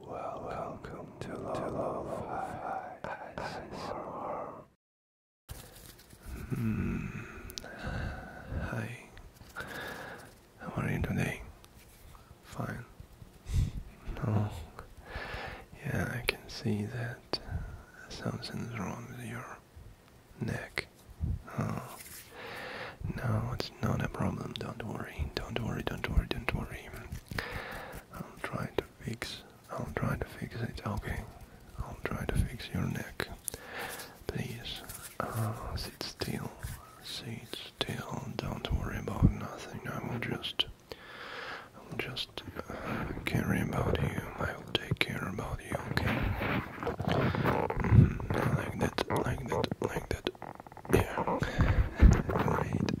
Well, welcome to Lolo Hmm. Hi. How are you today? Fine. No. Yeah, I can see that uh, something's wrong with your neck. Oh. No, it's not a problem. Don't worry. Don't worry. Don't worry. Don't worry. I'll try to fix. I'll try to fix it. Okay. I'll try to fix your neck. Please. Ah, sit still. Sit still. Don't worry about nothing. I will just. I will just uh, care about you. I will take care about you. Okay. Mm-hmm. like that. Like that. Like that there. Right.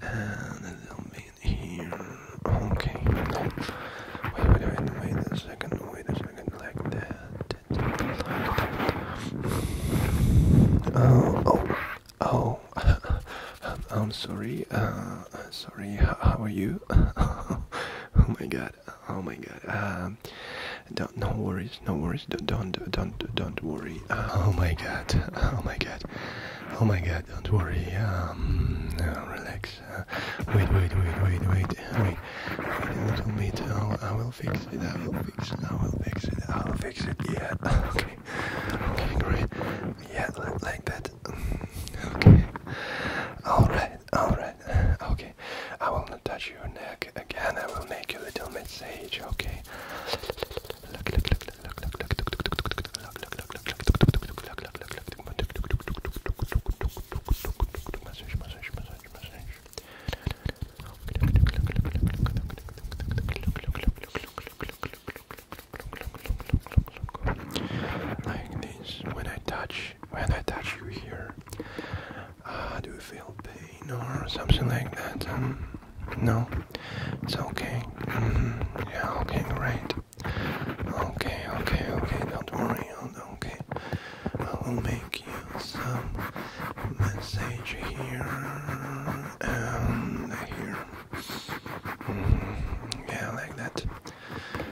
And a little bit here. Okay. Wait, a second, wait a second, like that. Oh, oh, oh. I'm sorry. sorry. How are you? oh my god. Oh my god! Um, don't no worries, no worries. Don't don't don't don't worry. oh my god! Oh my god! Oh my god! Don't worry. Um, relax. Uh, wait, wait, wait, wait, wait, wait. Wait a little bit. I will fix it. I will fix it. I will fix it. I will fix it. Yeah. Okay. Okay. Great. Yeah. Like that. Okay. All right all right, okay. I will not touch your neck again. I will make a little massage, okay? Like this, when I touch when I touch you here? Uh, do you feel pain or something like that? Um, no, it's okay. Mm -hmm. Yeah, okay, great. Okay, okay, okay. Don't worry. Okay, I will make you some massage here and here. Mm-hmm. Yeah, like that.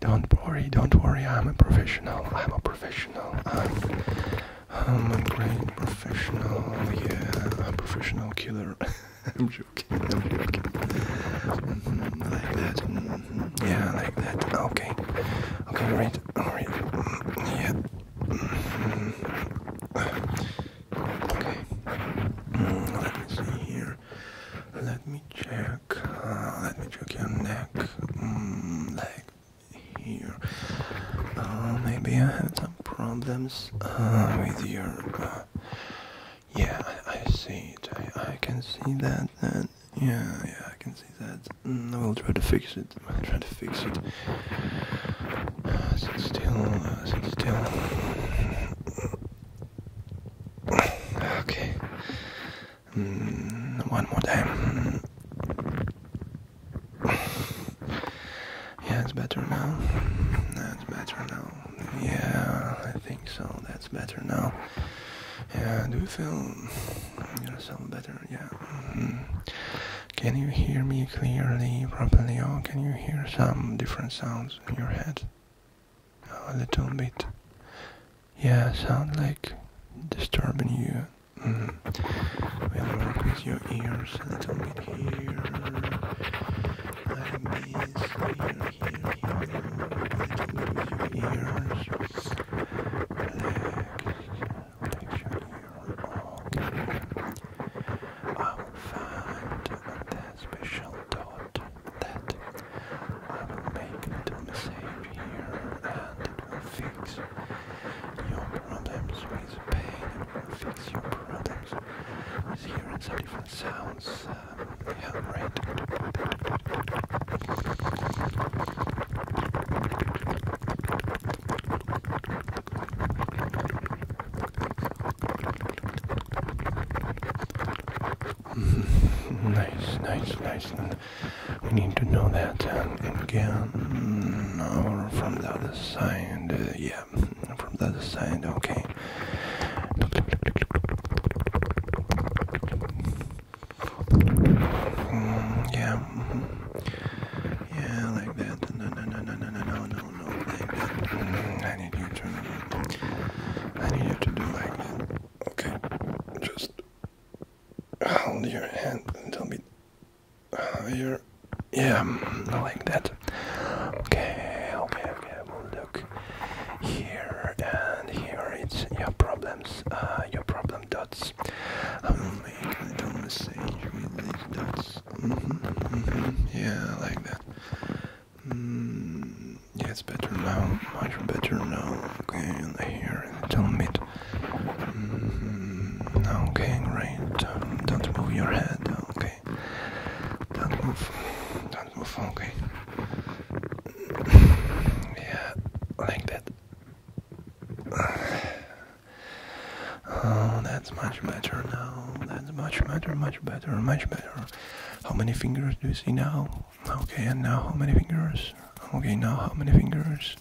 Don't worry, don't worry, I'm a professional, I'm a professional, I'm, a great professional, yeah, a professional killer. I'm joking, I'm joking. Mm, like that, mm, yeah, like that, okay, okay, great, alright, yeah. Mm, okay, let me see here. Let me check. Uh, let me check your neck. Mm, like here. Uh, maybe I have some problems uh, with your. yeah, I, see it. I, can see that. yeah, yeah, I can see that. Mm, I will try to fix it. I'll try to fix it. Uh, sit still, still. Okay. Mm, one more time. Yeah, it's better now. That's better now. Yeah, I think so. That's better now. Yeah, do you feel yourself better? Yeah. Mm-hmm. Can you hear me clearly, properly, or can you hear some different sounds in your head? a little bit. Yeah, sound like disturbing you. Mm. We'll work with your ears a little bit here. Like this, here, here, here. A little bit your ears. Relax. Relax your ear. I will find that special dot that I will make a little message here and fix your problems with pain, and fix your problems with hearing some different sounds, um, yeah, nice, nice, nice. we need to know that uh, again. Or from the other side. Uh, yeah, from the other side. Okay. Mm, yeah. Mm-hmm. Yeah, like that. No, no, no, no, no, no, no, no, like that. Mm, I need you to. I need you to do like that. Okay, just hold your hand a little bit higher. Yeah, mm, like that. Okay, okay, okay. look here and here. It's your problems. Uh, your problem dots. I'm um, making the message with these dots. Mm -hmm, mm -hmm. Yeah, like that. Mm, yeah, it's better now. Much better now. Okay, and here in the tongue bit. Mm, okay, great. Um, don't move your head. Okay. Don't move. Don't move. Okay. yeah, like that. Oh, that's much better now. That's much better, much better, much better. How many fingers do you see now? Okay, and now how many fingers? Okay, now how many fingers?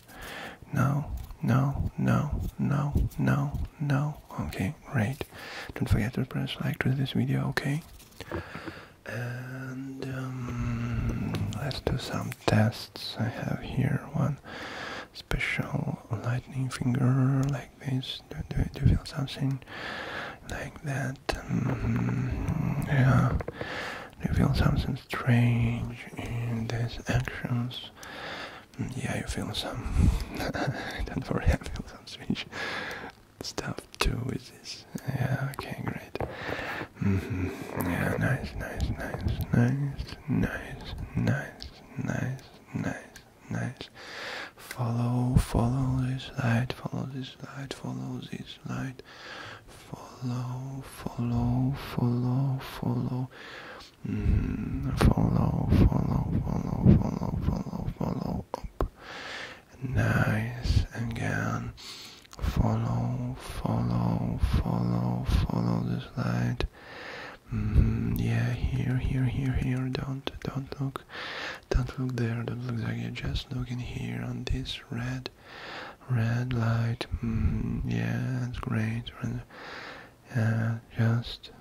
Now, now, now, now, now, now. Okay, great. Don't forget to press like to this video, okay? And um, let's do some tests. I have here one special lightning finger like this. Do, do, you feel something like that? Mm, yeah. you feel something strange in these actions? Mm, yeah, you feel some. Don't worry, I feel some strange stuff too with this nice. Yeah, okay, great. Mm -hmm. Yeah, nice, nice, nice, nice, nice, nice, nice, nice, nice. Follow, follow this light, follow this light, follow this light. Follow, follow, follow, follow. Mm, follow, follow, follow, follow, follow, follow up nice again follow follow follow follow this light mm-hmm. yeah here here here here don't don't look don't look there don't look there just look in here on this red red light mm-hmm. yeah that's great and just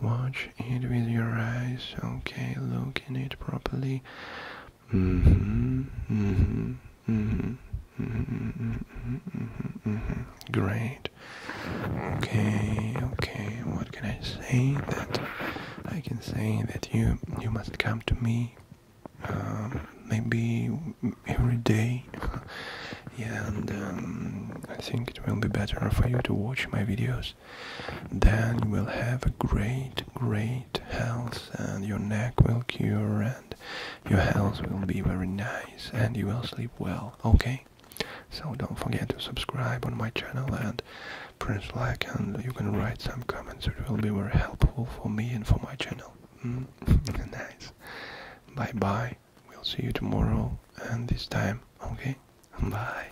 watch it with your eyes okay look in it properly Great. Okay. Okay. What can I say? That I can say that you you must come to me. Um, maybe every day. and um, I think it will be better for you to watch my videos then you will have a great, great health, and your neck will cure, and your health will be very nice, and you will sleep well, okay? So don't forget to subscribe on my channel and press like, and you can write some comments, it will be very helpful for me and for my channel. Hmm? nice. Bye bye. We'll see you tomorrow, and this time, okay? Bye.